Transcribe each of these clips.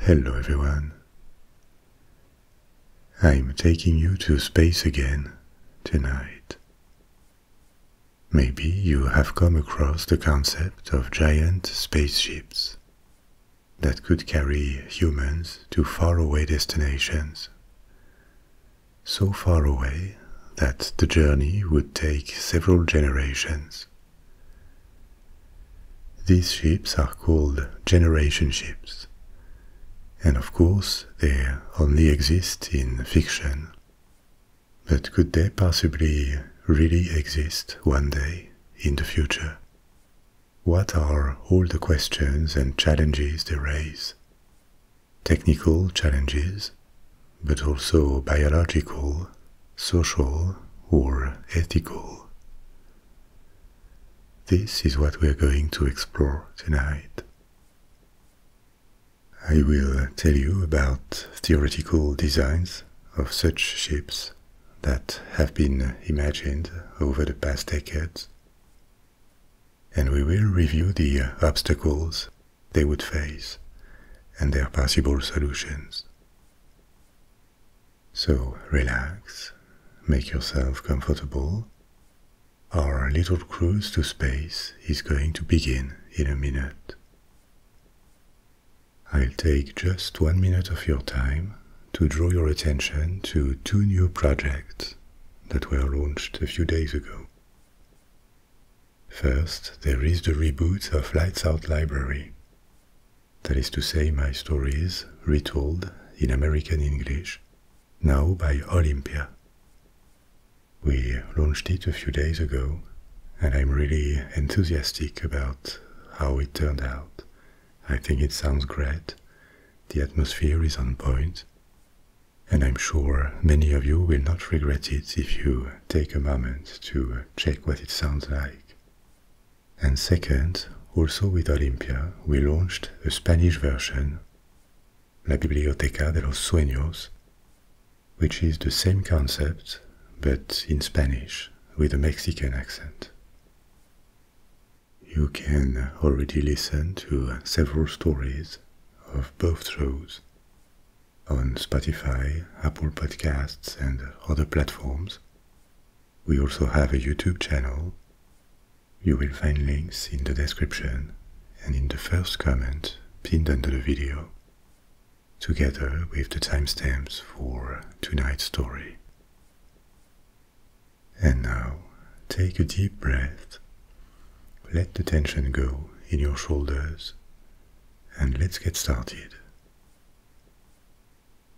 Hello everyone. I'm taking you to space again tonight. Maybe you have come across the concept of giant spaceships that could carry humans to faraway destinations. So far away that the journey would take several generations. These ships are called generation ships, and of course they only exist in fiction. But could they possibly really exist one day in the future? What are all the questions and challenges they raise? Technical challenges, but also biological, social, or ethical. This is what we're going to explore tonight. I will tell you about theoretical designs of such ships that have been imagined over the past decades, and we will review the obstacles they would face and their possible solutions. So relax, make yourself comfortable. Our little cruise to space is going to begin in a minute. I'll take just one minute of your time to draw your attention to two new projects that were launched a few days ago. First, there is the reboot of Lights Out Library, that is to say, my stories retold in American English, now by Olympia. We launched it a few days ago, and I'm really enthusiastic about how it turned out. I think it sounds great, the atmosphere is on point, and I'm sure many of you will not regret it if you take a moment to check what it sounds like. And second, also with Olympia, we launched the Spanish version, La Biblioteca de los Sueños, which is the same concept but in Spanish with a Mexican accent. You can already listen to several stories of both shows on Spotify, Apple Podcasts, and other platforms. We also have a YouTube channel. You will find links in the description and in the first comment pinned under the video, together with the timestamps for tonight's story. And now, take a deep breath, let the tension go in your shoulders, and let's get started.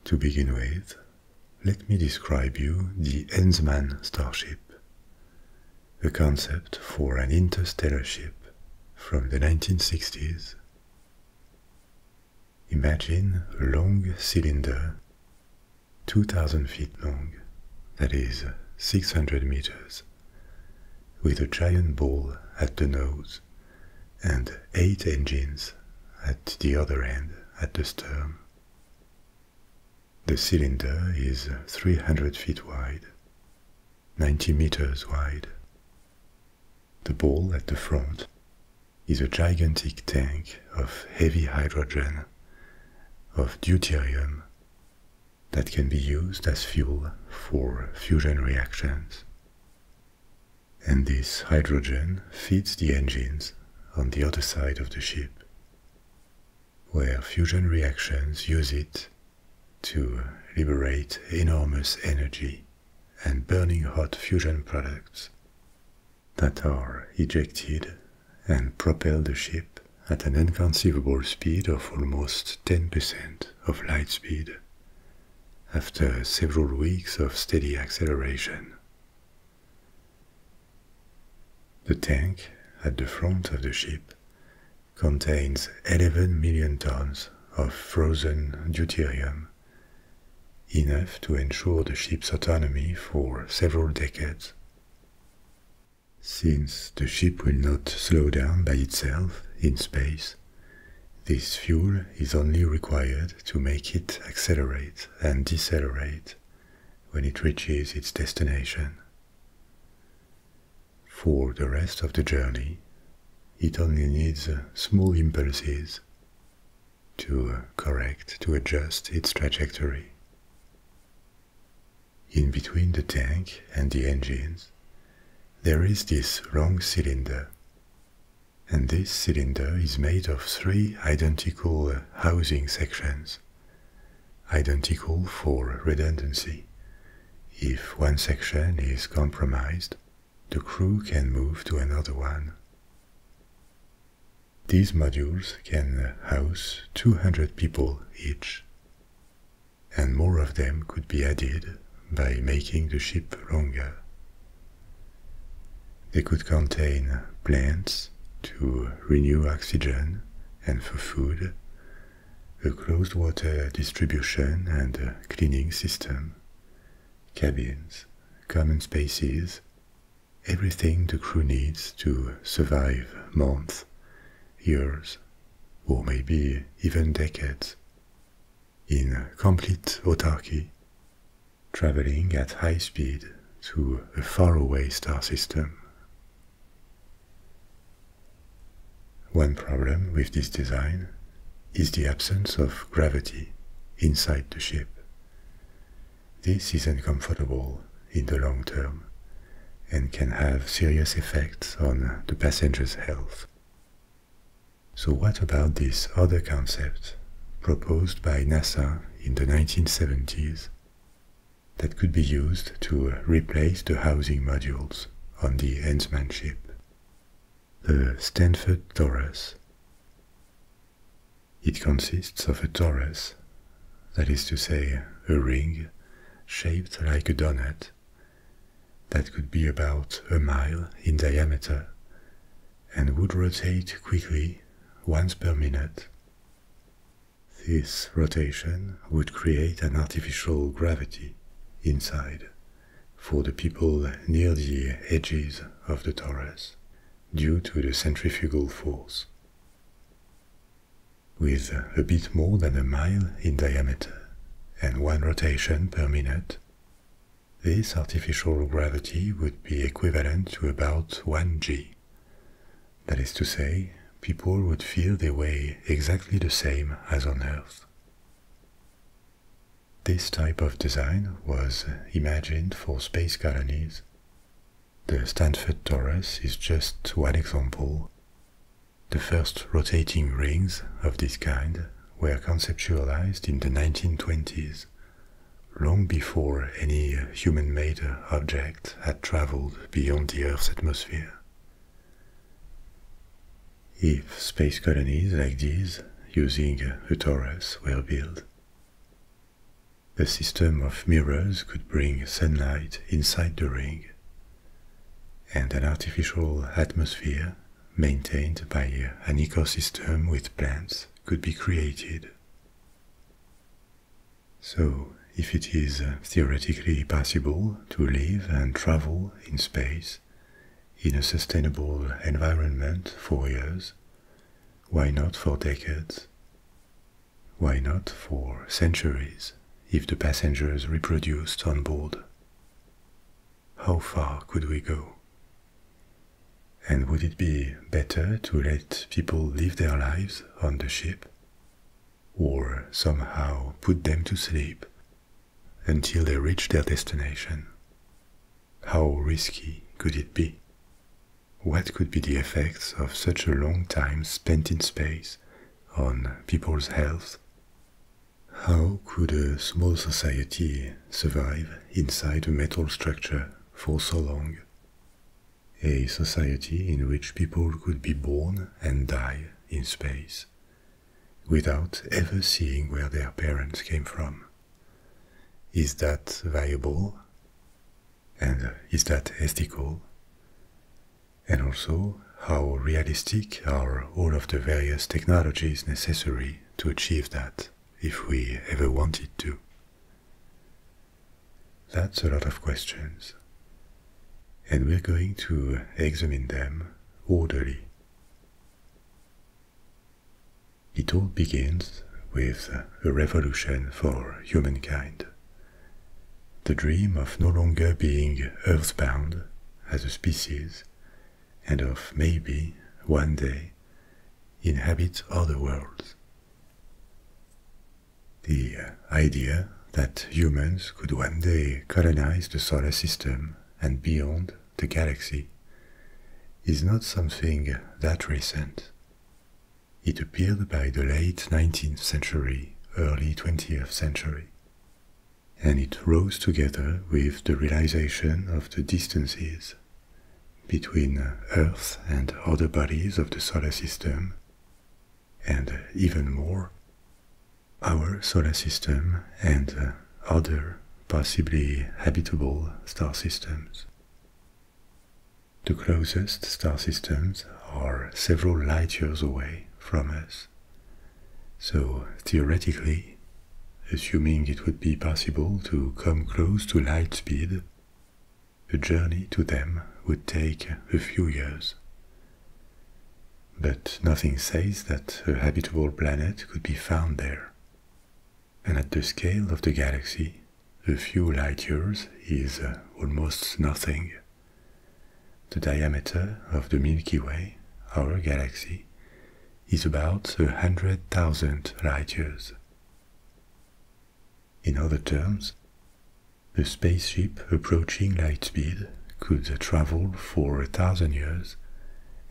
To begin with, let me describe you the Enzmann starship, a concept for an interstellar ship from the 1960s. Imagine a long cylinder, 2000 feet long, that is 600 meters, with a giant ball at the nose and eight engines at the other end at the stern. The cylinder is 300 feet wide, 90 meters wide. The ball at the front is a gigantic tank of heavy hydrogen, of deuterium, that can be used as fuel for fusion reactions and this hydrogen feeds the engines on the other side of the ship, where fusion reactions use it to liberate enormous energy and burning hot fusion products that are ejected and propel the ship at an inconceivable speed of almost 10% of light speed after several weeks of steady acceleration. The tank at the front of the ship contains 11 million tons of frozen deuterium, enough to ensure the ship's autonomy for several decades. Since the ship will not slow down by itself in space, this fuel is only required to make it accelerate and decelerate when it reaches its destination. For the rest of the journey, it only needs small impulses to correct, to adjust its trajectory. In between the tank and the engines, there is this wrong cylinder and this cylinder is made of three identical uh, housing sections, identical for redundancy. If one section is compromised, the crew can move to another one. These modules can uh, house 200 people each, and more of them could be added by making the ship longer. They could contain plants to renew oxygen and for food, a closed water distribution and cleaning system, cabins, common spaces, everything the crew needs to survive months, years, or maybe even decades in complete autarky, traveling at high speed to a faraway star system. One problem with this design is the absence of gravity inside the ship. This is uncomfortable in the long term and can have serious effects on the passenger's health. So what about this other concept proposed by NASA in the 1970s that could be used to replace the housing modules on the Ensman ship? The Stanford torus. It consists of a torus, that is to say, a ring shaped like a donut that could be about a mile in diameter and would rotate quickly once per minute. This rotation would create an artificial gravity inside for the people near the edges of the torus due to the centrifugal force. With a bit more than a mile in diameter and one rotation per minute, this artificial gravity would be equivalent to about 1g. That is to say, people would feel their weigh exactly the same as on Earth. This type of design was imagined for space colonies. The Stanford Torus is just one example. The first rotating rings of this kind were conceptualized in the 1920s long before any human made object had traveled beyond the Earth's atmosphere. If space colonies like these using a torus were built, a system of mirrors could bring sunlight inside the ring, and an artificial atmosphere maintained by an ecosystem with plants could be created. So, if it is uh, theoretically possible to live and travel in space in a sustainable environment for years, why not for decades? Why not for centuries if the passengers reproduced on board? how far could we go? And would it be better to let people live their lives on the ship? Or somehow put them to sleep until they reach their destination? How risky could it be? What could be the effects of such a long time spent in space on people's health? How could a small society survive inside a metal structure for so long. A society in which people could be born and die in space without ever seeing where their parents came from. Is that viable? And uh, is that ethical? And also, how realistic are all of the various technologies necessary to achieve that? if we ever wanted to? That's a lot of questions, and we're going to examine them orderly. It all begins with a revolution for humankind. The dream of no longer being earthbound as a species and of maybe, one day, inhabit other worlds. The uh, idea that humans could one day colonize the solar system and beyond the galaxy is not something that recent. It appeared by the late 19th century, early 20th century, and it rose together with the realization of the distances between uh, Earth and other bodies of the solar system, and uh, even more, our solar system and uh, other possibly habitable star systems. The closest star systems are several light years away from us, so theoretically assuming it would be possible to come close to light speed, the journey to them would take a few years. But nothing says that a habitable planet could be found there. And at the scale of the galaxy, a few light years is uh, almost nothing. The diameter of the Milky Way, our galaxy, is about a hundred thousand light years. In other terms, a spaceship approaching light speed could travel for a thousand years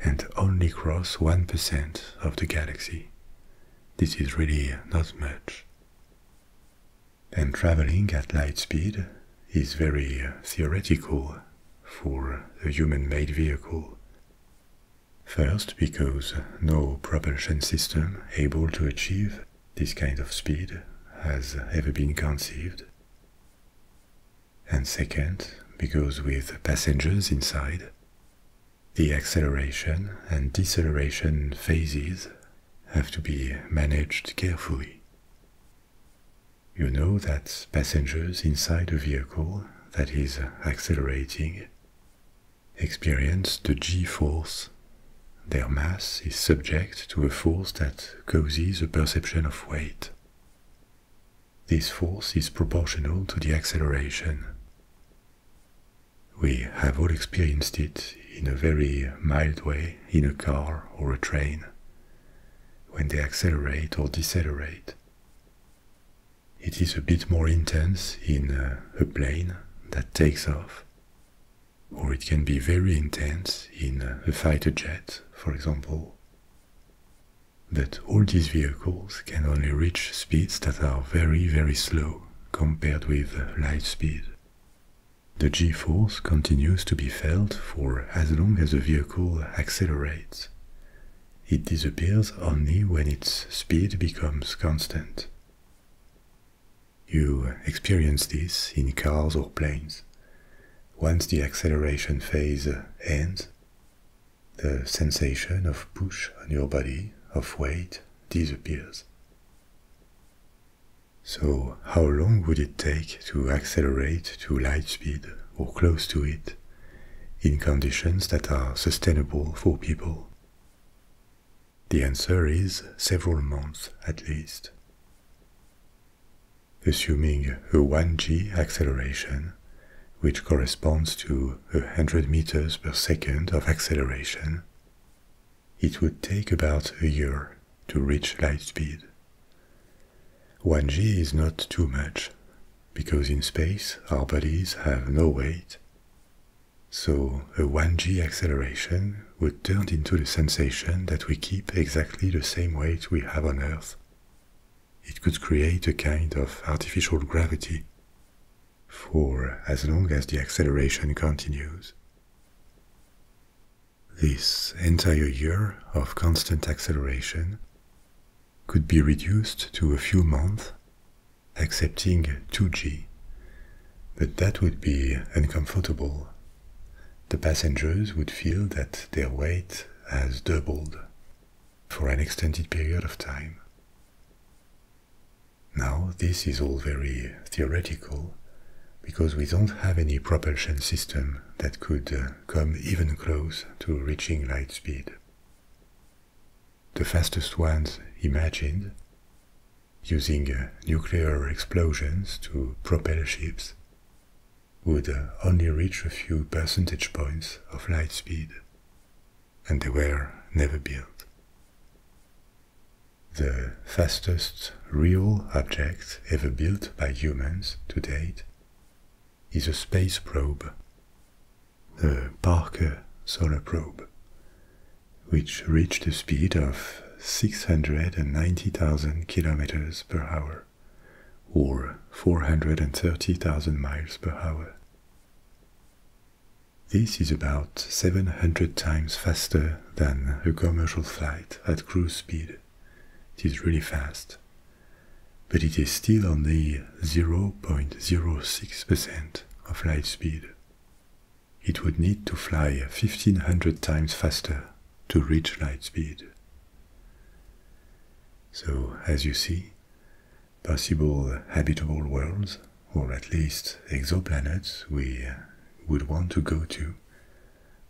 and only cross 1% of the galaxy. This is really not much. And traveling at light speed is very uh, theoretical for a human made vehicle. First, because no propulsion system able to achieve this kind of speed has ever been conceived. And second, because with passengers inside, the acceleration and deceleration phases have to be managed carefully. You know that passengers inside a vehicle that is accelerating experience the g-force. Their mass is subject to a force that causes a perception of weight. This force is proportional to the acceleration. We have all experienced it in a very mild way in a car or a train, when they accelerate or decelerate. It is a bit more intense in uh, a plane that takes off, or it can be very intense in uh, a fighter jet, for example. But all these vehicles can only reach speeds that are very, very slow compared with uh, light speed. The g-force continues to be felt for as long as the vehicle accelerates, it disappears only when its speed becomes constant. You experience this in cars or planes. Once the acceleration phase ends, the sensation of push on your body, of weight, disappears. So, how long would it take to accelerate to light speed or close to it in conditions that are sustainable for people? The answer is several months at least. Assuming a 1g acceleration, which corresponds to 100 meters per second of acceleration, it would take about a year to reach light speed. 1g is not too much, because in space our bodies have no weight, so a 1g acceleration would turn into the sensation that we keep exactly the same weight we have on Earth. It could create a kind of artificial gravity for as long as the acceleration continues. This entire year of constant acceleration could be reduced to a few months accepting 2G, but that would be uncomfortable. The passengers would feel that their weight has doubled for an extended period of time. Now, this is all very theoretical because we don't have any propulsion system that could uh, come even close to reaching light speed the fastest ones imagined, using uh, nuclear explosions to propel ships, would uh, only reach a few percentage points of light speed, and they were never built. The fastest real object ever built by humans to date is a space probe the Parker solar probe, which reached a speed of 690,000 kilometers per hour, or 430,000 miles per hour. This is about 700 times faster than a commercial flight at cruise speed. It is really fast. But it is still only 0.06% of light speed. It would need to fly 1500 times faster to reach light speed. So, as you see, possible habitable worlds, or at least exoplanets we would want to go to,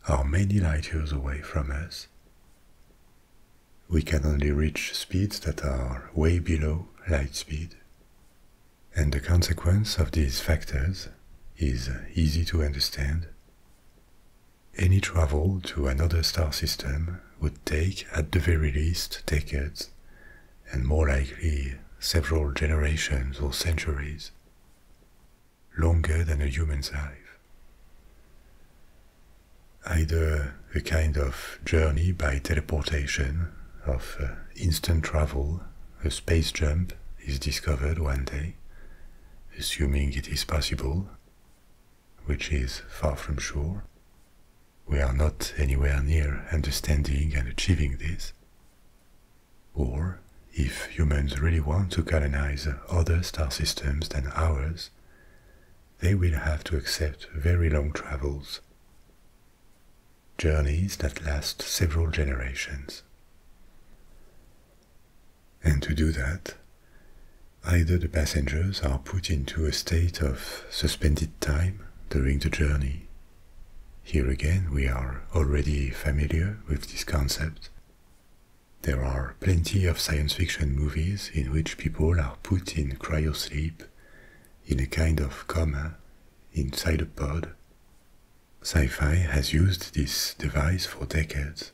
are many light years away from us. We can only reach speeds that are way below light speed, and the consequence of these factors is easy to understand. Any travel to another star system would take at the very least decades, and more likely several generations or centuries, longer than a human's life. Either a kind of journey by teleportation of uh, instant travel, a space jump, is discovered one day, assuming it is possible, which is far from sure. We are not anywhere near understanding and achieving this. Or, if humans really want to colonize other star systems than ours, they will have to accept very long travels journeys that last several generations. And to do that, either the passengers are put into a state of suspended time during the journey. Here again, we are already familiar with this concept. There are plenty of science fiction movies in which people are put in cryosleep, in a kind of coma, inside a pod. Sci-fi has used this device for decades,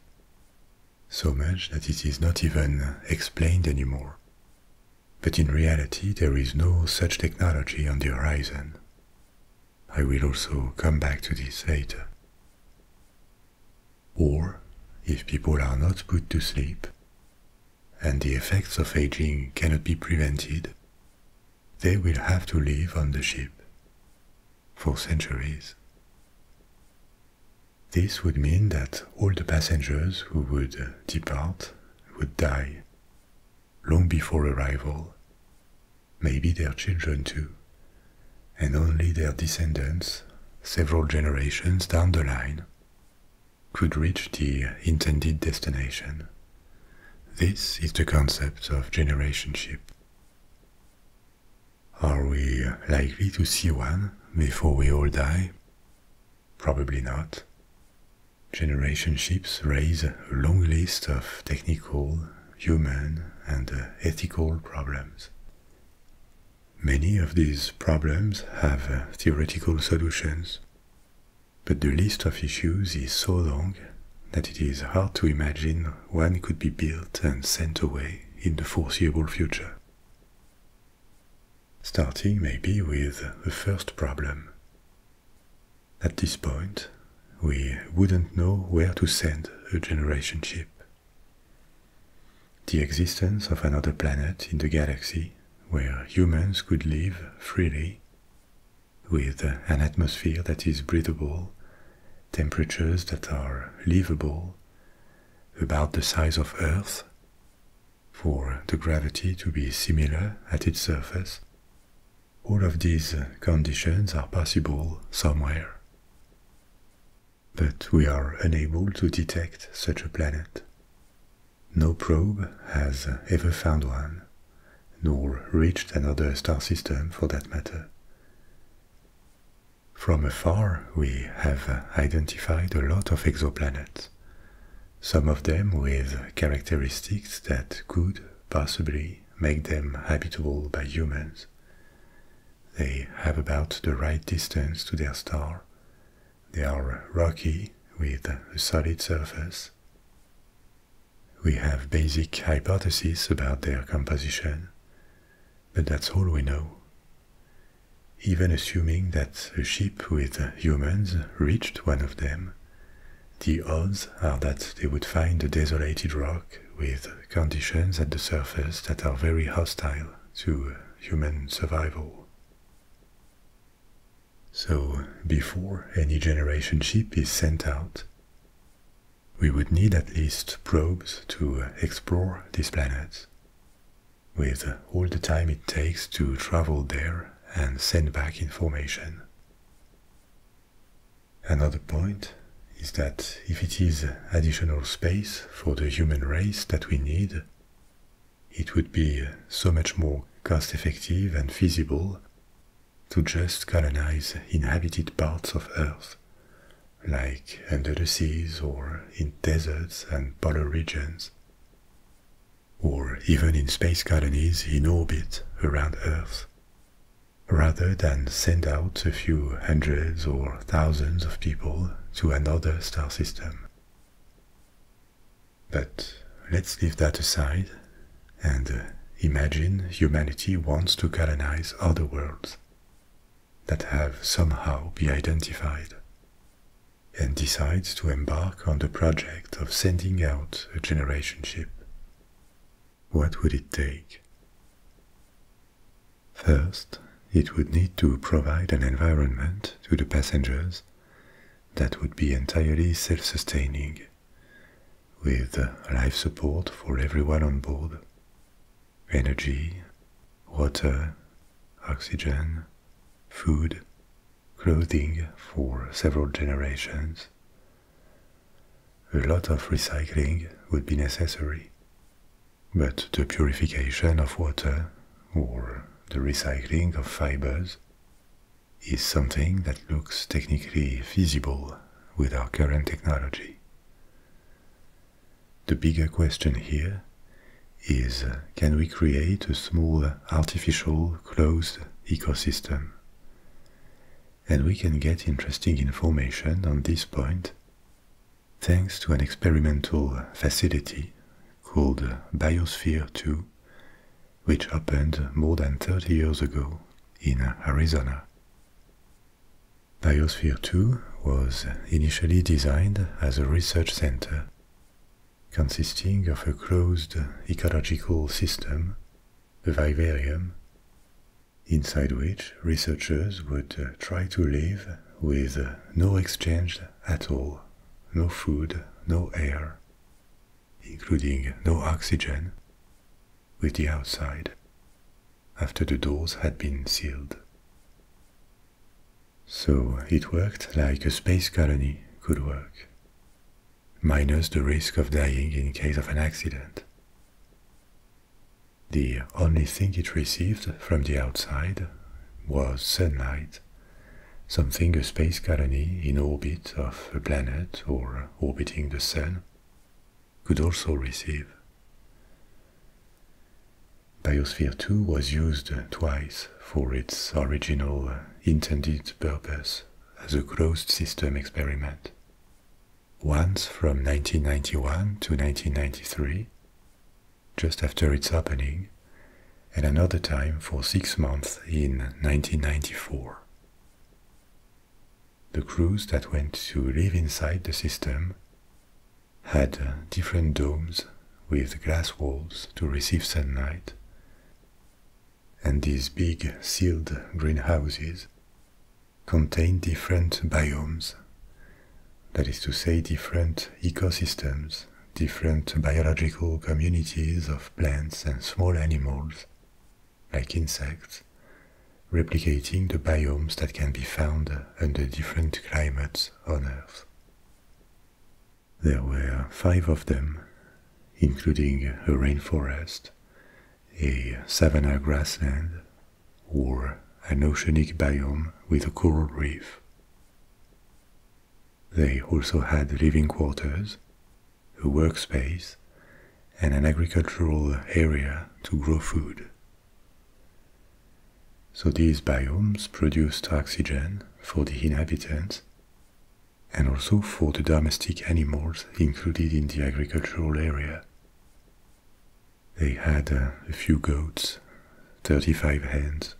so much that it is not even explained anymore. But in reality, there is no such technology on the horizon. I will also come back to this later. Or, if people are not put to sleep, and the effects of aging cannot be prevented, they will have to live on the ship for centuries. This would mean that all the passengers who would depart would die long before arrival, maybe their children too, and only their descendants several generations down the line could reach the intended destination. This is the concept of generationship. Are we likely to see one before we all die? Probably not. Generationships raise a long list of technical, human, and ethical problems. Many of these problems have theoretical solutions but the list of issues is so long that it is hard to imagine one could be built and sent away in the foreseeable future. Starting maybe with the first problem. At this point, we wouldn't know where to send a generation ship. The existence of another planet in the galaxy where humans could live freely with an atmosphere that is breathable, temperatures that are livable, about the size of Earth, for the gravity to be similar at its surface. All of these conditions are possible somewhere. But we are unable to detect such a planet. No probe has ever found one, nor reached another star system for that matter. From afar, we have identified a lot of exoplanets, some of them with characteristics that could possibly make them habitable by humans. They have about the right distance to their star. They are rocky with a solid surface we have basic hypotheses about their composition, but that's all we know. Even assuming that a ship with humans reached one of them, the odds are that they would find a desolated rock with conditions at the surface that are very hostile to human survival. So, before any generation ship is sent out, we would need at least probes to explore this planet, with all the time it takes to travel there and send back information. Another point is that if it is additional space for the human race that we need, it would be so much more cost effective and feasible to just colonize inhabited parts of Earth, like under the seas or in deserts and polar regions, or even in space colonies in orbit around Earth, rather than send out a few hundreds or thousands of people to another star system. But let's leave that aside and uh, imagine humanity wants to colonize other worlds that have somehow been identified and decides to embark on the project of sending out a generation ship. What would it take? First, it would need to provide an environment to the passengers that would be entirely self-sustaining with life support for everyone on board, energy, water, oxygen, food, clothing for several generations. A lot of recycling would be necessary, but the purification of water or the recycling of fibers is something that looks technically feasible with our current technology. The bigger question here is uh, can we create a small artificial closed ecosystem? And we can get interesting information on this point thanks to an experimental facility called Biosphere 2 which happened more than 30 years ago in Arizona. Biosphere 2 was initially designed as a research center, consisting of a closed ecological system, a vivarium, inside which researchers would try to live with no exchange at all, no food, no air, including no oxygen, with the outside after the doors had been sealed. So it worked like a space colony could work, minus the risk of dying in case of an accident. The only thing it received from the outside was sunlight, something a space colony in orbit of a planet or uh, orbiting the Sun, could also receive. Biosphere 2 was used twice for its original uh, intended purpose as a closed system experiment. Once from 1991 to 1993, just after its opening, and another time for six months in 1994. The crews that went to live inside the system had uh, different domes with glass walls to receive sunlight, and these big sealed greenhouses contained different biomes, that is to say, different ecosystems, different biological communities of plants and small animals like insects, replicating the biomes that can be found under different climates on Earth. There were five of them, including a rainforest, a savanna grassland, or an oceanic biome with a coral reef. They also had living quarters, a workspace, and an agricultural area to grow food. So these biomes produce oxygen for the inhabitants and also for the domestic animals included in the agricultural area. They had uh, a few goats, 35 hens,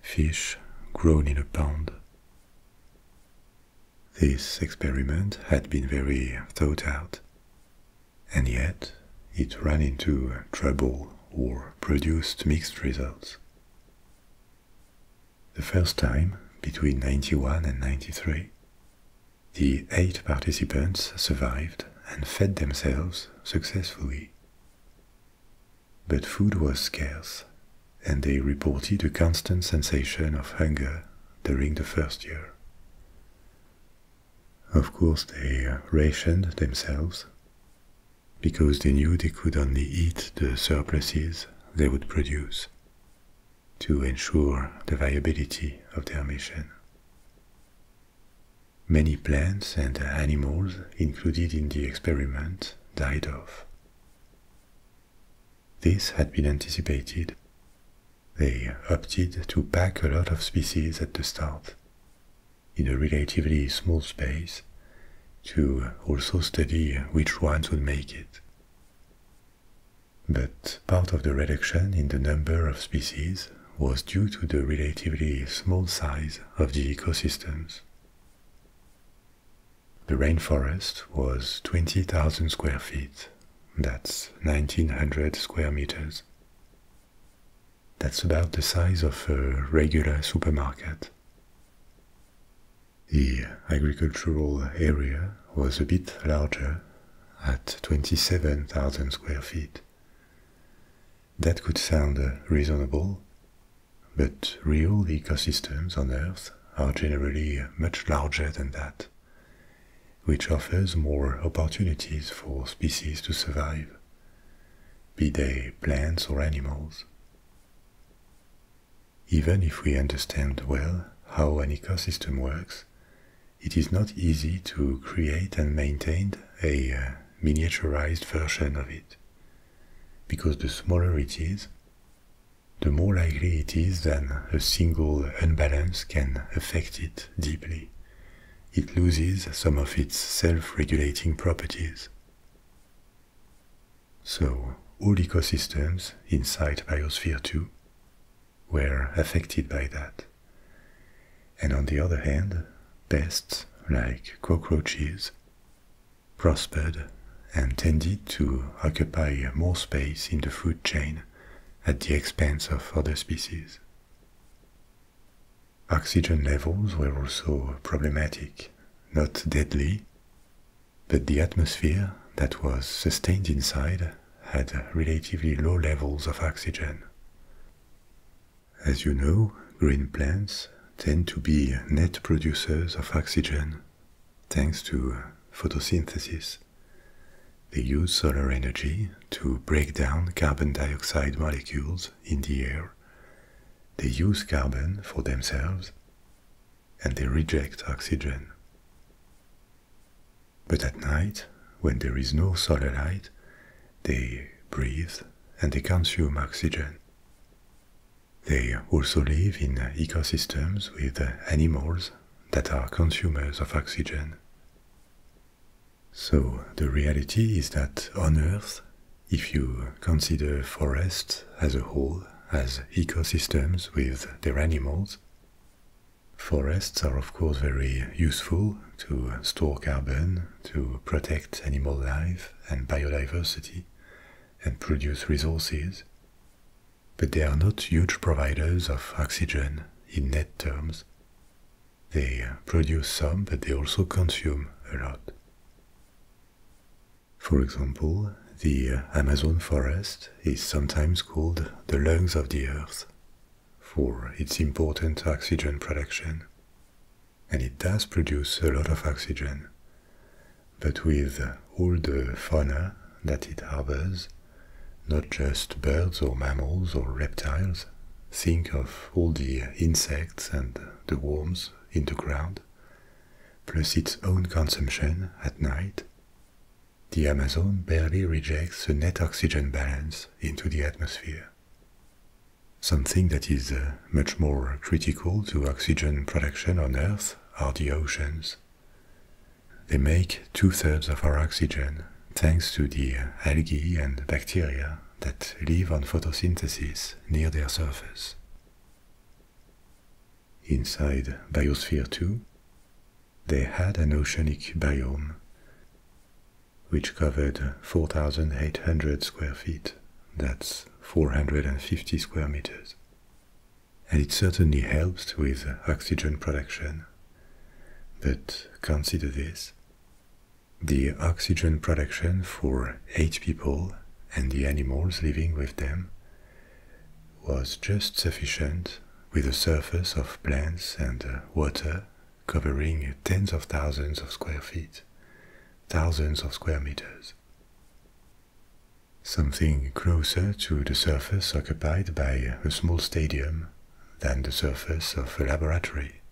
fish grown in a pond. This experiment had been very thought out, and yet it ran into trouble or produced mixed results. The first time, between 91 and 93, the eight participants survived and fed themselves successfully. But food was scarce, and they reported a constant sensation of hunger during the first year. Of course, they rationed themselves because they knew they could only eat the surpluses they would produce to ensure the viability of their mission. Many plants and animals included in the experiment died off. This had been anticipated. They opted to pack a lot of species at the start, in a relatively small space, to also study which ones would make it. But part of the reduction in the number of species was due to the relatively small size of the ecosystems. The rainforest was 20,000 square feet. That's 1900 square meters. That's about the size of a regular supermarket. The agricultural area was a bit larger at 27,000 square feet. That could sound reasonable, but real ecosystems on Earth are generally much larger than that which offers more opportunities for species to survive, be they plants or animals. Even if we understand well how an ecosystem works, it is not easy to create and maintain a uh, miniaturized version of it, because the smaller it is, the more likely it is that a single unbalance can affect it deeply. It loses some of its self-regulating properties. So, all ecosystems inside Biosphere 2 were affected by that. And on the other hand, pests like cockroaches prospered and tended to occupy more space in the food chain at the expense of other species. Oxygen levels were also problematic, not deadly, but the atmosphere that was sustained inside had relatively low levels of oxygen. As you know, green plants tend to be net producers of oxygen Thanks to photosynthesis, they use solar energy to break down carbon dioxide molecules in the air. They use carbon for themselves and they reject oxygen. But at night, when there is no solar light, they breathe and they consume oxygen. They also live in ecosystems with animals that are consumers of oxygen. So the reality is that on Earth, if you consider forests as a whole, as ecosystems with their animals, forests are of course very useful to store carbon, to protect animal life and biodiversity, and produce resources but they are not huge providers of oxygen in net terms. They uh, produce some, but they also consume a lot. For example, the uh, Amazon forest is sometimes called the lungs of the earth for its important oxygen production. And it does produce a lot of oxygen. But with all the fauna that it harbors, not just birds or mammals or reptiles. Think of all the insects and the worms in the ground, plus its own consumption at night. The Amazon barely rejects the net oxygen balance into the atmosphere. Something that is uh, much more critical to oxygen production on Earth are the oceans. They make two-thirds of our oxygen thanks to the algae and bacteria that live on photosynthesis near their surface. Inside Biosphere 2, they had an oceanic biome which covered 4,800 square feet, that's 450 square meters, and it certainly helps with oxygen production. But consider this. The oxygen production for eight people and the animals living with them was just sufficient with the surface of plants and uh, water covering tens of thousands of square feet, thousands of square meters. Something closer to the surface surface occupied by a small stadium than the surface of a laboratory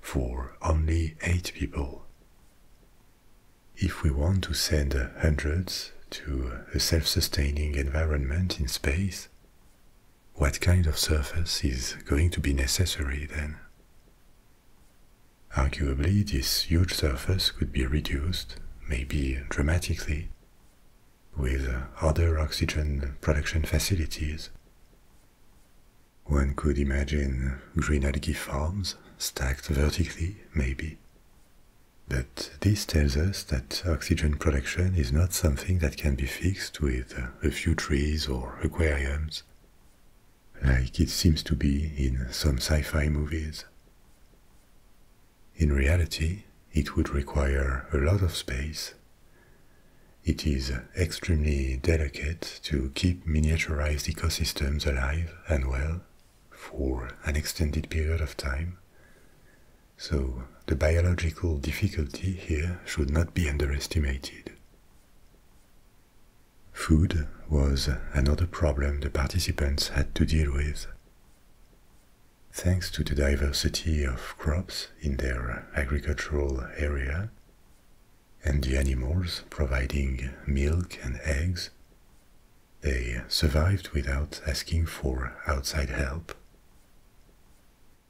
for only eight people. If we want to send hundreds to a self-sustaining environment in space, what kind of surface is going to be necessary then? Arguably, this huge surface could be reduced, maybe dramatically, with other oxygen production facilities. One could imagine green algae farms stacked vertically, maybe. But this tells us that oxygen production is not something that can be fixed with a few trees or aquariums, like it seems to be in some sci fi movies. In reality, it would require a lot of space. It is extremely delicate to keep miniaturized ecosystems alive and well for an extended period of time. So, the biological difficulty here should not be underestimated. Food was another problem the participants had to deal with. Thanks to the diversity of crops in their agricultural area, and the animals providing milk and eggs, they survived without asking for outside help.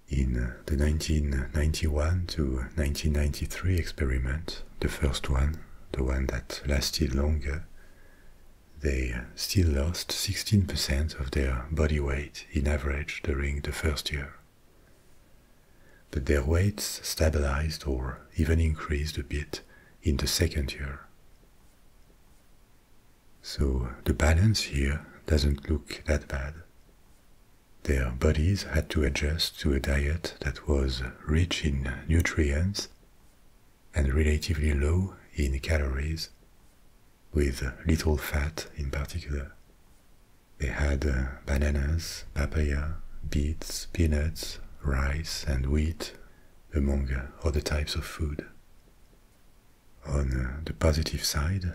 In the 1991 to 1993 experiment, the first one, the one that lasted longer, they still lost 16% of their body weight in average during the first year. But their weights stabilized or even increased a bit in the second year. So the balance here doesn't look that bad. Their bodies had to adjust to a diet that was rich in nutrients and relatively low in calories, with little fat in particular. They had uh, bananas, papaya, beets, peanuts, rice, and wheat, among uh, other types of food. On uh, the positive side,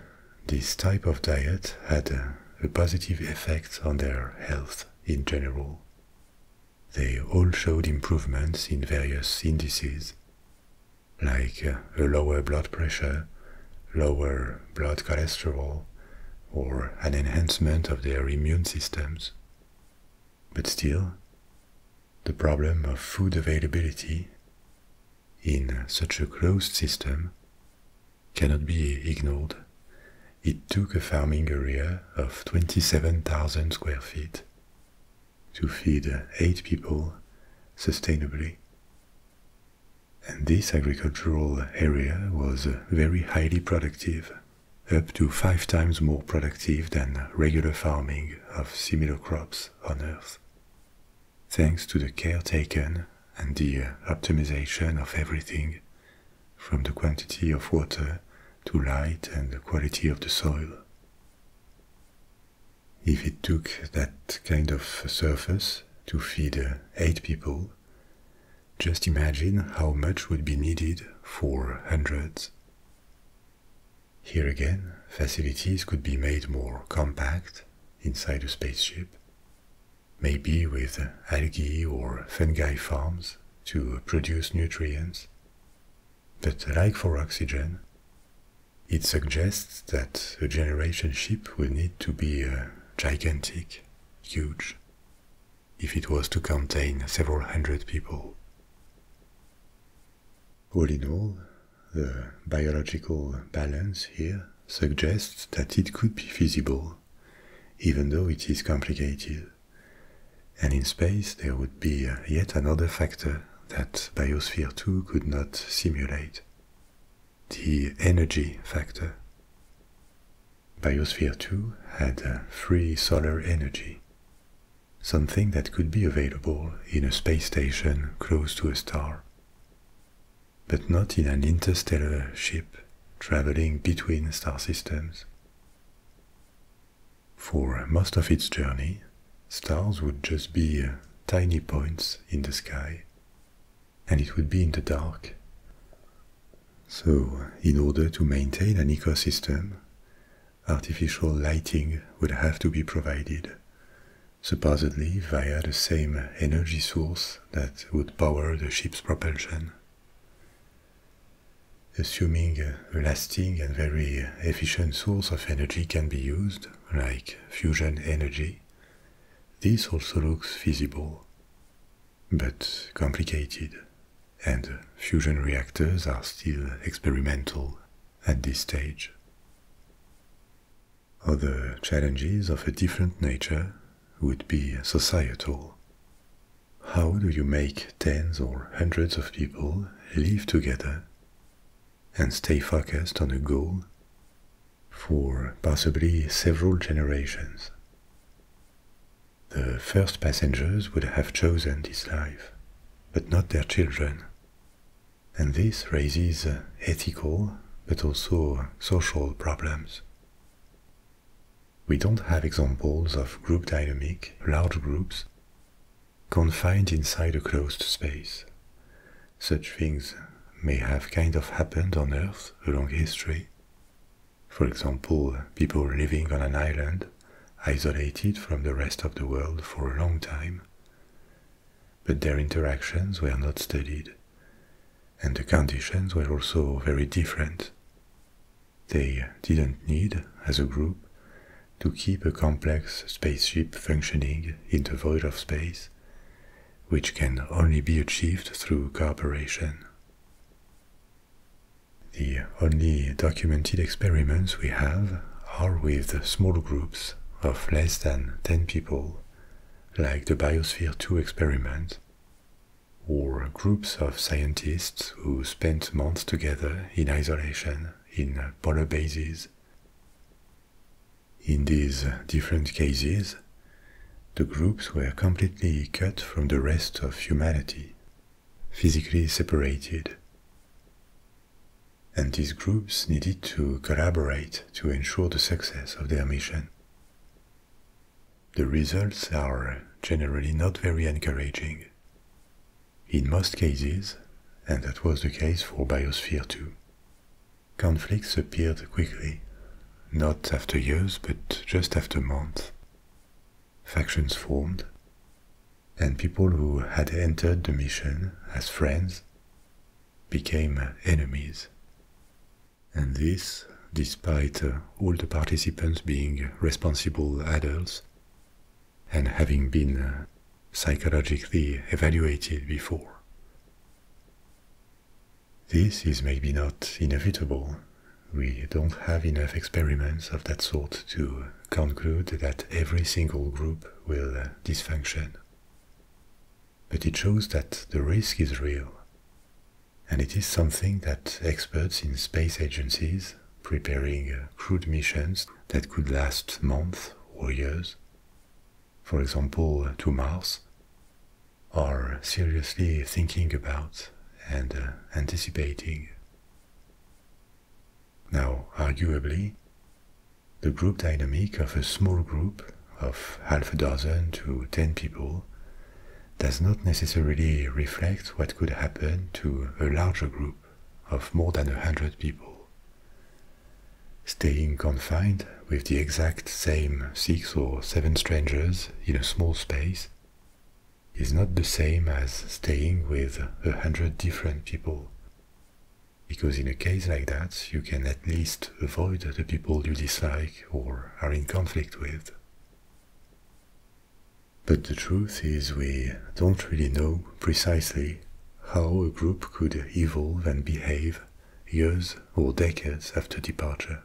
this type of diet had a positive effect on their health in general. They all showed improvements in various indices, like uh, a lower blood pressure, lower blood cholesterol, or an enhancement of their immune systems. But still, the problem of food availability in such a closed system cannot be ignored. It took a farming area of 27,000 square feet to feed uh, eight people sustainably. And this agricultural area was uh, very highly productive, up to five times more productive than regular farming of similar crops on Earth. Thanks to the care taken and the uh, optimization of everything, from the quantity of water to light and the quality of the soil. If it took that kind of surface to feed uh, eight people, just imagine how much would be needed for hundreds. Here again, facilities could be made more compact inside a spaceship, maybe with algae or fungi farms to produce nutrients. But like for oxygen, it suggests that a generation ship will need to be uh, gigantic, huge, if it was to contain several hundred people. All in all, the biological balance here suggests that it could be feasible, even though it is complicated. And in space, there would be uh, yet another factor that Biosphere 2 could not simulate the energy factor. Biosphere 2 had free solar energy, something that could be available in a space station close to a star, but not in an interstellar ship traveling between star systems. For most of its journey, stars would just be uh, tiny points in the sky, and it would be in the dark. So, in order to maintain an ecosystem, artificial lighting would have to be provided, supposedly via the same energy source that would power the ship's propulsion. Assuming a lasting and very efficient source of energy can be used, like fusion energy, this also looks feasible, but complicated, and fusion reactors are still experimental at this stage. Other challenges of a different nature would be societal. How do you make tens or hundreds of people live together and stay focused on a goal for possibly several generations. The first passengers would have chosen this life, but not their children. And this raises ethical but also social problems. We don't have examples of group dynamic, large groups, confined inside a closed space, such things may have kind of happened on Earth along history. For example, people living on an island, isolated from the rest of the world for a long time. But their interactions were not studied, and the conditions were also very different. They didn't need, as a group, to keep a complex spaceship functioning in the void of space which can only be achieved through cooperation. The only documented experiments we have are with small groups of less than 10 people, like the Biosphere 2 experiment, or groups of scientists who spent months together in isolation in polar bases, in these different cases, the groups were completely cut from the rest of humanity, physically separated. And these groups needed to collaborate to ensure the success of their mission. The results are generally not very encouraging. In most cases, and that was the case for Biosphere 2, Conflicts appeared quickly, not after years, but just after months. Factions formed, and people who had entered the mission as friends became enemies. And this, despite uh, all the participants being responsible adults and having been uh, psychologically evaluated before. This is maybe not inevitable. We don't have enough experiments of that sort to conclude that every single group will dysfunction. But it shows that the risk is real. And it is something that experts in space agencies preparing crewed missions that could last months or years for example uh, to Mars, are seriously thinking about and uh, anticipating. Now, arguably, the group dynamic of a small group of half a dozen to ten people does not necessarily reflect what could happen to a larger group of more than a hundred people, Staying confined with the exact same six or seven strangers in a small space is not the same as staying with a hundred different people. Because in a case like that, you can at least avoid the people you dislike or are in conflict with. But the truth is, we don't really know precisely how a group could evolve and behave years or decades after departure.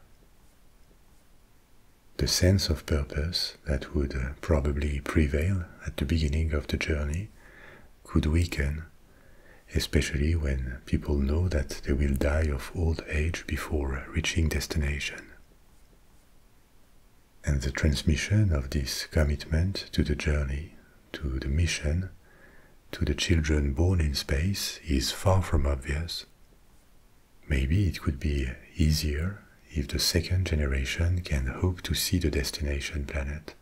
The sense of purpose that would uh, probably prevail at the beginning of the journey could weaken, especially when people know that they will die of old age before uh, reaching destination. And the transmission of this commitment to the journey to the mission, to the children born in space is far from obvious. Maybe it could be easier if the second generation can hope to see the destination planet.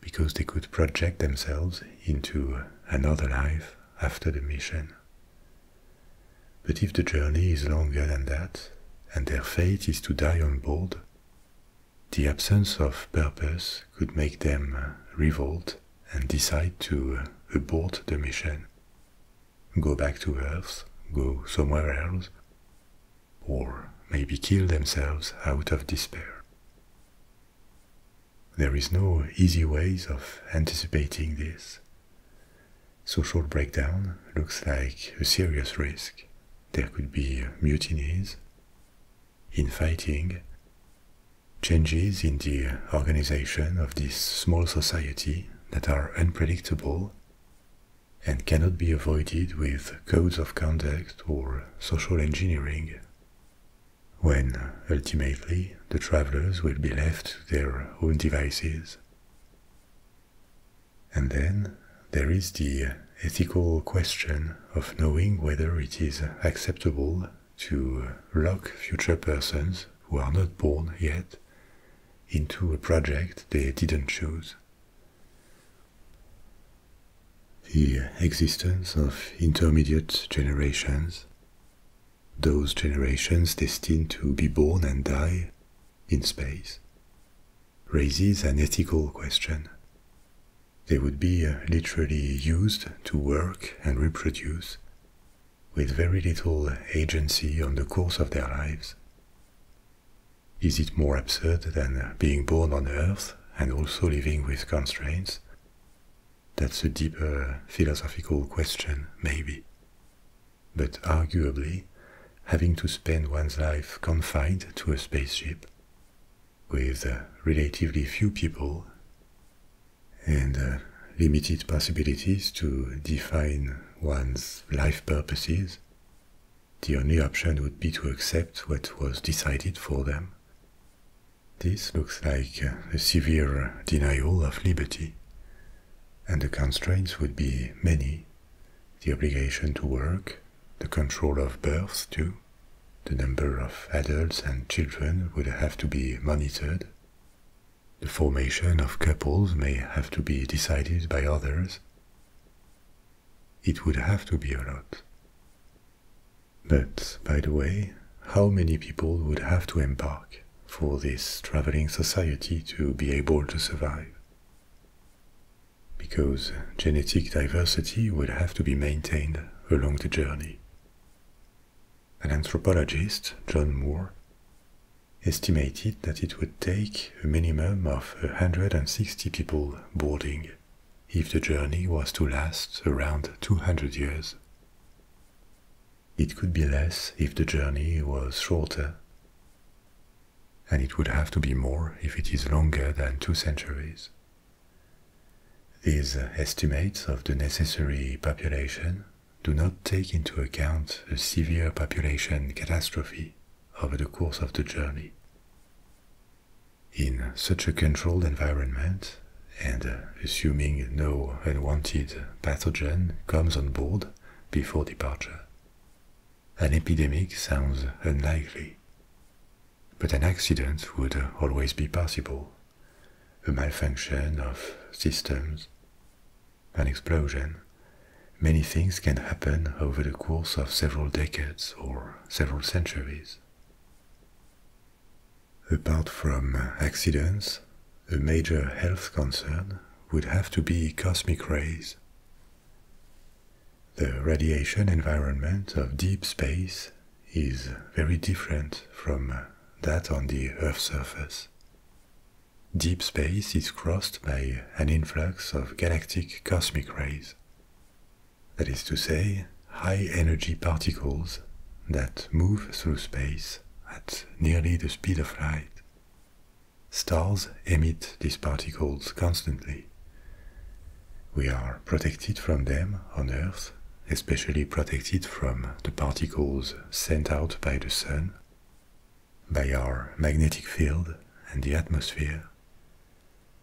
Because they could project themselves into another life after the mission. But if the journey is longer than that, and their fate is to die on board, the absence of purpose could make them uh, revolt and decide to uh, abort the mission, go back to Earth, go somewhere else, or maybe kill themselves out of despair. There is no easy ways of anticipating this. Social breakdown looks like a serious risk. There could be mutinies, in fighting, changes in the organization of this small society that are unpredictable and cannot be avoided with codes of conduct or social engineering, when ultimately the travelers will be left to their own devices. And then there is the ethical question of knowing whether it is acceptable to lock future persons who are not born yet into a project they didn't choose. The existence of intermediate generations, those generations destined to be born and die in space, raises an ethical question they would be uh, literally used to work and reproduce, with very little agency on the course of their lives. Is it more absurd than being born on Earth and also living with constraints? That's a deeper philosophical question, maybe. But arguably, having to spend one's life confined to a spaceship with uh, relatively few people and uh, limited possibilities to define one's life purposes, the only option would be to accept what was decided for them. This looks like uh, a severe denial of liberty, and the constraints would be many the obligation to work, the control of births, too, the number of adults and children would have to be monitored. The formation of couples may have to be decided by others. It would have to be a lot. But, by the way, how many people would have to embark for this traveling society to be able to survive? Because genetic diversity would have to be maintained along the journey. An anthropologist, John Moore, estimated that it would take a minimum of a 160 people boarding if the journey was to last around 200 years. It could be less if the journey was shorter, and it would have to be more if it is longer than two centuries. These estimates of the necessary population do not take into account a severe population catastrophe over the course of the journey. In such a controlled environment, and assuming no unwanted pathogen comes on board before departure, an epidemic sounds unlikely, but an accident would always be possible a malfunction of systems, an explosion. Many things can happen over the course of several decades or several centuries. Apart from accidents, a major health concern would have to be cosmic rays. The radiation environment of deep space is very different from that on the Earth's surface. Deep space is crossed by an influx of galactic cosmic rays. That is to say, high energy particles that move through space at nearly the speed of light. Stars emit these particles constantly, we are protected from them on Earth, especially protected from the particles sent out by the Sun, by our magnetic field and the atmosphere.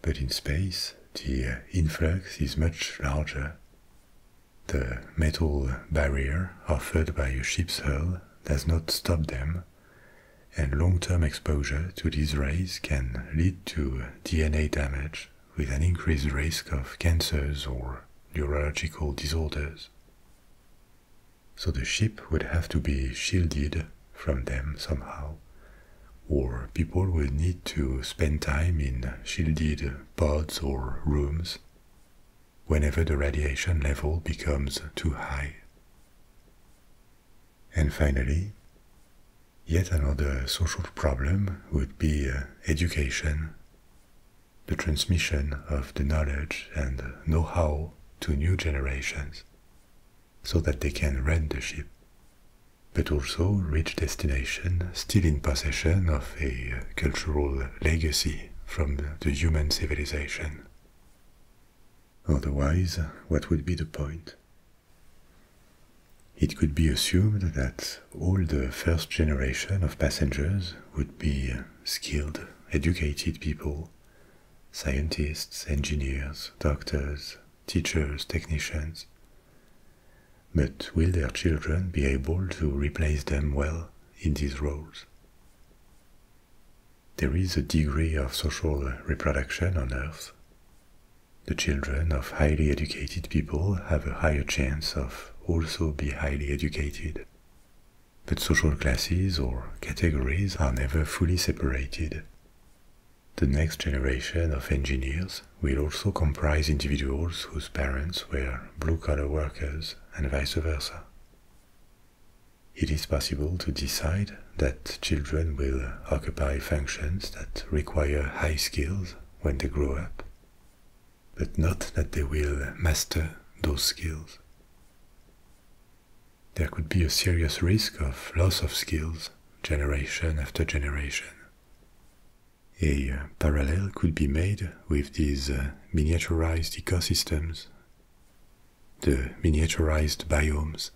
But in space, the influx is much larger. The metal barrier offered by a ship's hull does not stop them, and long term exposure to these rays can lead to DNA damage with an increased risk of cancers or neurological disorders. So the ship would have to be shielded from them somehow, or people would need to spend time in shielded pods or rooms whenever the radiation level becomes too high. And finally, Yet another social problem would be uh, education, the transmission of the knowledge and know-how to new generations, so that they can rent the ship, but also reach destination still in possession of a uh, cultural legacy from the human civilization. Otherwise, what would be the point? It could be assumed that all the first generation of passengers would be skilled, educated people scientists, engineers, doctors, teachers, technicians. But will their children be able to replace them well in these roles? There is a degree of social reproduction on Earth. The children of highly educated people have a higher chance of also be highly educated. But social classes or categories are never fully separated. The next generation of engineers will also comprise individuals whose parents were blue-collar workers and vice versa. It is possible to decide that children will occupy functions that require high skills when they grow up, but not that they will master those skills. There could be a serious risk of loss of skills generation after generation. A uh, parallel could be made with these uh, miniaturized ecosystems, the miniaturized biomes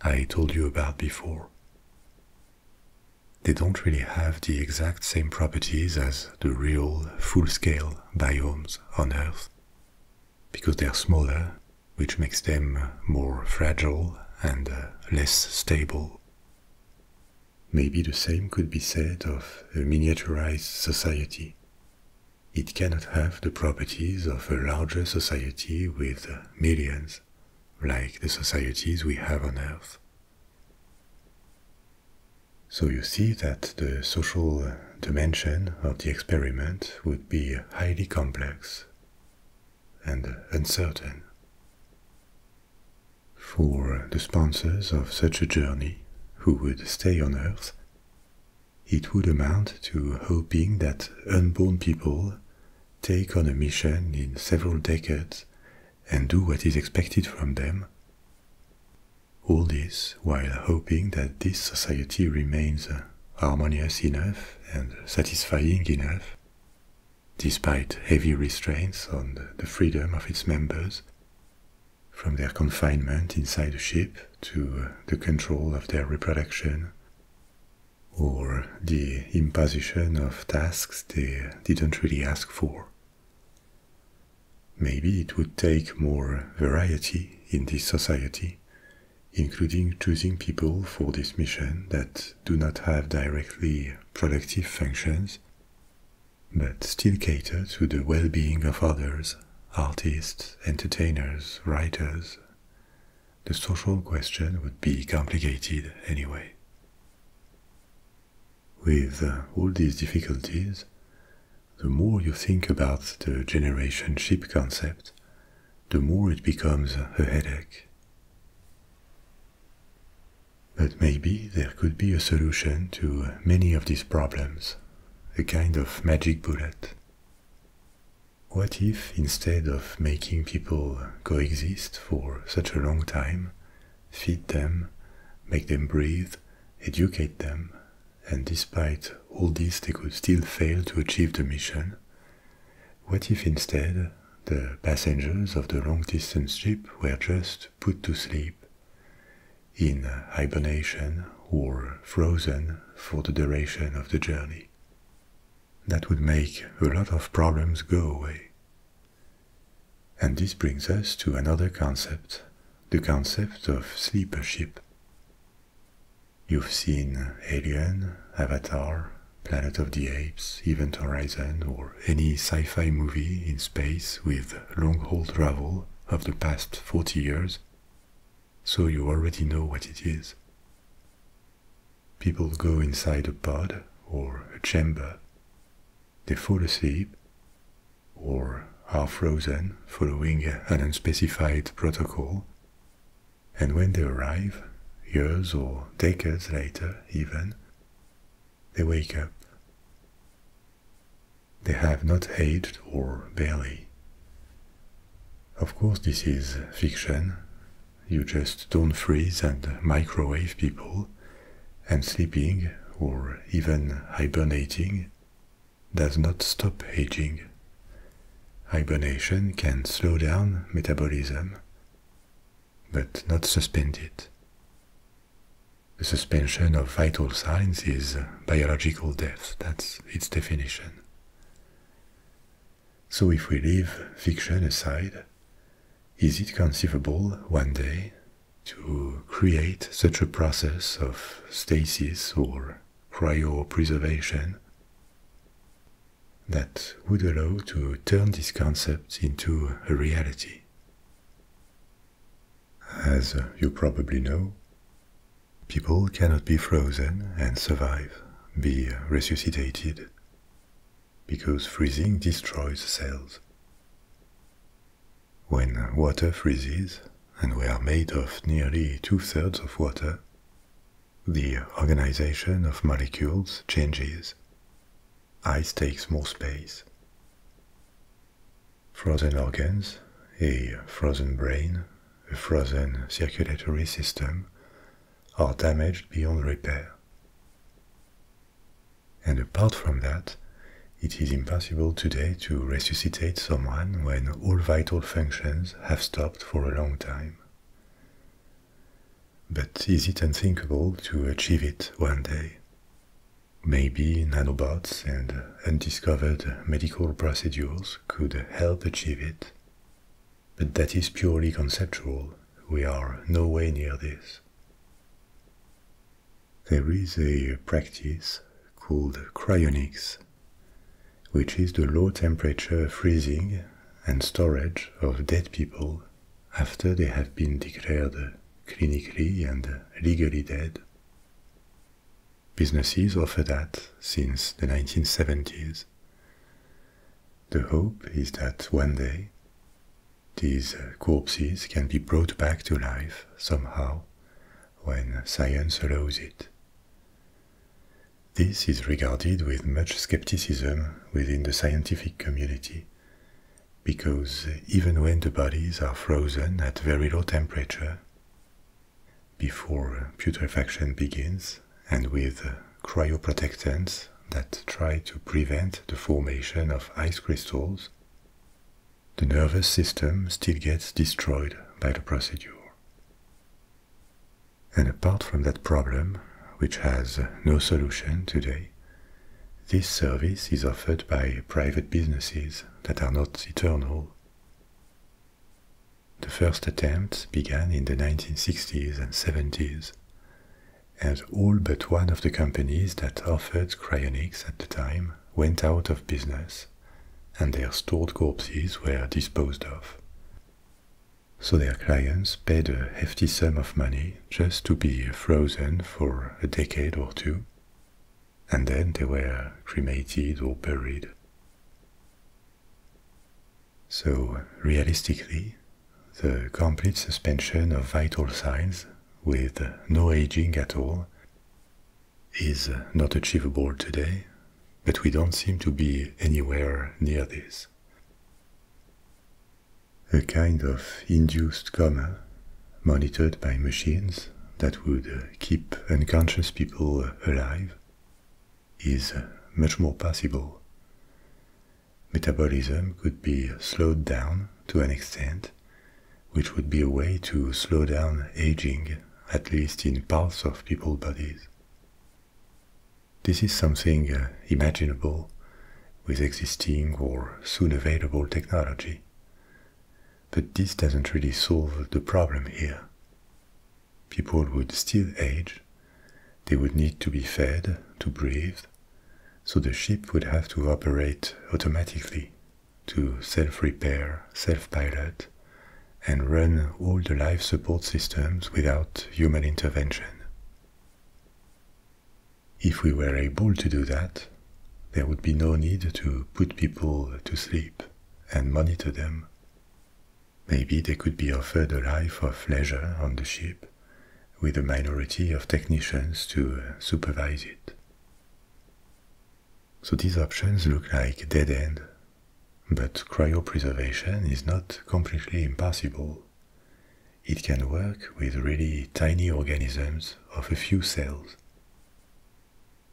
I told you about before. They don't really have the exact same properties as the real full-scale biomes on Earth, because they're smaller, which makes them more fragile and uh, less stable. Maybe the same could be said of a miniaturized society. It cannot have the properties of a larger society with millions, like the societies we have on Earth, so you see that the social dimension of the experiment would be highly complex and uncertain. For the sponsors of such a journey, who would stay on Earth, it would amount to hoping that unborn people take on a mission in several decades and do what is expected from them. All this while hoping that this society remains uh, harmonious enough and satisfying enough, despite heavy restraints on the freedom of its members, from their confinement inside the ship to uh, the control of their reproduction, or the imposition of tasks they didn't really ask for. Maybe it would take more variety in this society, including choosing people for this mission that do not have directly productive functions, but still cater to the well being of others artists, entertainers, writers. The social question would be complicated anyway. With uh, all these difficulties, the more you think about the generation ship concept, the more it becomes a headache. But maybe there could be a solution to many of these problems, a kind of magic bullet. What if instead of making people coexist for such a long time, feed them, make them breathe, educate them, and despite all this, they could still fail to achieve the mission. What if instead the passengers of the long distance ship were just put to sleep, in hibernation or frozen for the duration of the journey? That would make a lot of problems go away. And this brings us to another concept, the concept of sleepership. You've seen Alien, Avatar, Planet of the Apes, Event Horizon, or any sci fi movie in space with long haul travel of the past 40 years, so you already know what it is. People go inside a pod or a chamber they fall asleep or are frozen following an unspecified protocol. And when they arrive, years or decades later even, they wake up. They have not aged or barely. Of course, this is fiction. You just don't freeze and microwave people and sleeping or even hibernating does not stop aging. Hibernation can slow down metabolism, but not suspend it. The suspension of vital signs is biological death, that's its definition. So, if we leave fiction aside, is it conceivable one day to create such a process of stasis or cryopreservation that would allow to turn this concept into a reality? As you probably know, people cannot be frozen and survive, be resuscitated because freezing destroys cells. When water freezes, and we are made of nearly two-thirds of water, the organization of molecules changes. Ice takes more space. Frozen organs, a frozen brain, a frozen circulatory system are damaged beyond repair. And apart from that, it is impossible today to resuscitate someone when all vital functions have stopped for a long time. But is it unthinkable to achieve it one day? Maybe nanobots and undiscovered medical procedures could help achieve it. But that is purely conceptual. We are nowhere near this. There is a practice called cryonics, which is the low temperature freezing and storage of dead people after they have been declared clinically and legally dead. Businesses offer that since the 1970s. The hope is that one day these uh, corpses can be brought back to life somehow when science allows it. This is regarded with much skepticism within the scientific community, because even when the bodies are frozen at very low temperature, before putrefaction begins, and with cryoprotectants that try to prevent the formation of ice crystals, the nervous system still gets destroyed by the procedure. And apart from that problem, which has no solution today, this service is offered by private businesses that are not eternal. The first attempts began in the 1960s and 70s and all but one of the companies that offered cryonics at the time went out of business, and their stored corpses were disposed of. So their clients paid a hefty sum of money just to be frozen for a decade or two, and then they were cremated or buried. So, realistically, the complete suspension of vital signs with no aging at all is not achievable today, but we don't seem to be anywhere near this. A kind of induced coma monitored by machines that would keep unconscious people alive is much more possible. Metabolism could be slowed down to an extent which would be a way to slow down aging, at least in parts of people's bodies. This is something uh, imaginable with existing or soon available technology. But this doesn't really solve the problem here. People would still age, they would need to be fed, to breathe, so the ship would have to operate automatically to self-repair, self-pilot, and run all the life support systems without human intervention. If we were able to do that, there would be no need to put people to sleep and monitor them. Maybe they could be offered a life of leisure on the ship with a minority of technicians to supervise it. So these options look like dead end, but cryopreservation is not completely impossible. It can work with really tiny organisms of a few cells,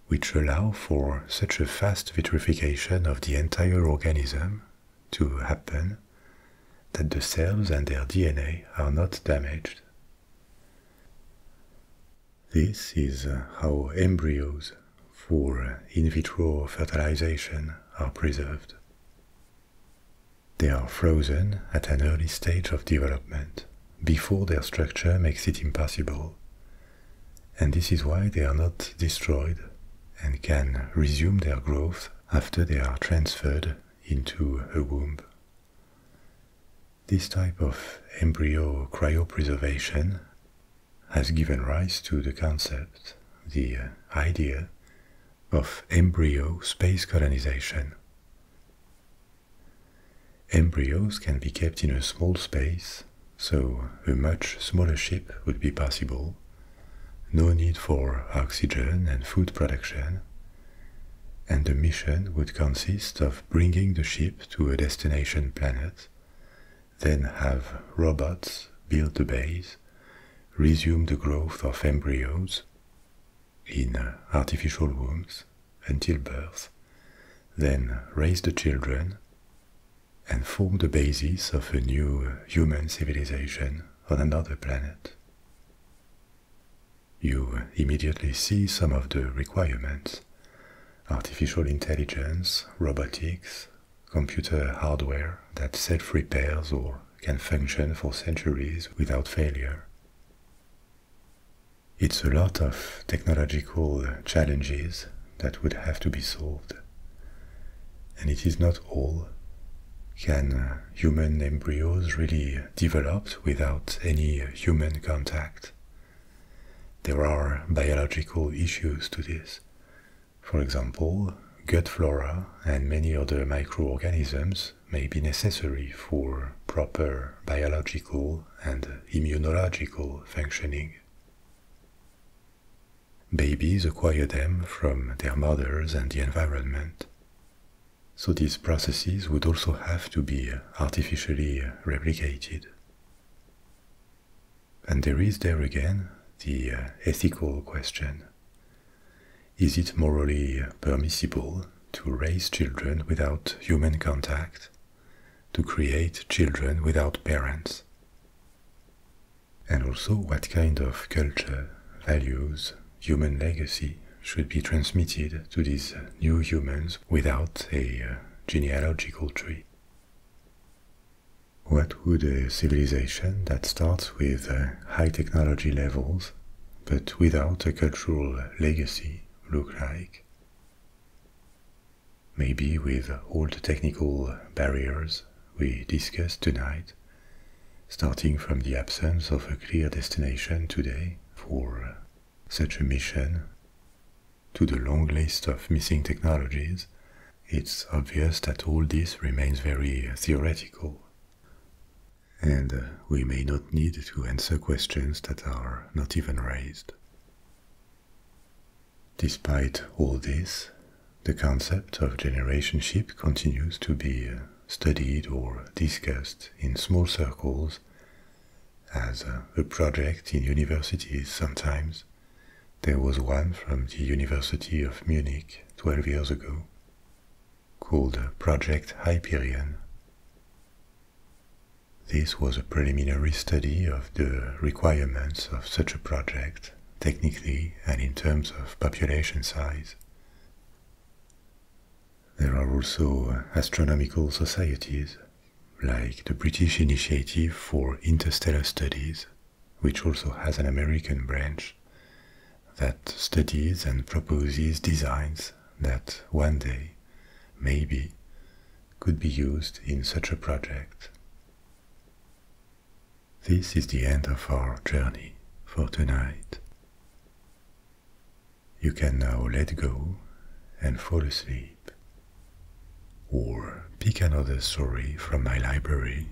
which allow for such a fast vitrification of the entire organism to happen that the cells and their DNA are not damaged this is how embryos for in vitro fertilization are preserved. They are frozen at an early stage of development, before their structure makes it impossible. And this is why they are not destroyed and can resume their growth after they are transferred into a womb. This type of embryo cryopreservation has given rise to the concept, the uh, idea, of embryo space colonization. Embryos can be kept in a small space, so a much smaller ship would be possible. No need for oxygen and food production, and the mission would consist of bringing the ship to a destination planet, then have robots build the base, resume the growth of embryos in artificial wombs until birth, then raise the children and form the basis of a new human civilization on another planet you immediately see some of the requirements artificial intelligence, robotics, computer hardware that self repairs or can function for centuries without failure. It's a lot of technological challenges that would have to be solved. And it is not all. Can uh, human embryos really develop without any uh, human contact. There are biological issues to this. For example, gut flora and many other microorganisms may be necessary for proper biological and immunological functioning. Babies acquire them from their mothers and the environment so these processes would also have to be artificially replicated. And there is there again the uh, ethical question. Is it morally permissible to raise children without human contact, to create children without parents? And also what kind of culture, values, human legacy should be transmitted to these new humans without a uh, genealogical tree. What would a civilization that starts with uh, high technology levels but without a cultural legacy look like? Maybe with all the technical barriers we discussed tonight, starting from the absence of a clear destination today for uh, such a mission, to the long list of missing technologies, it's obvious that all this remains very uh, theoretical. And uh, we may not need to answer questions that are not even raised. Despite all this, the concept of generationship continues to be uh, studied or discussed in small circles as a project in universities sometimes. There was one from the University of Munich 12 years ago called Project Hyperion. This was a preliminary study of the requirements of such a project, technically and in terms of population size. There are also astronomical societies, like the British Initiative for Interstellar Studies, which also has an American branch that studies and proposes designs that one day, maybe, could be used in such a project. This is the end of our journey for tonight. You can now let go and fall asleep. Or pick another story from my library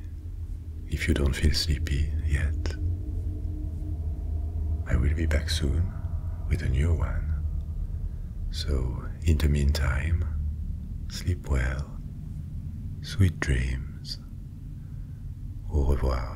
if you don't feel sleepy yet. I will be back soon with a new one. So, in the meantime, sleep well, sweet dreams. Au revoir.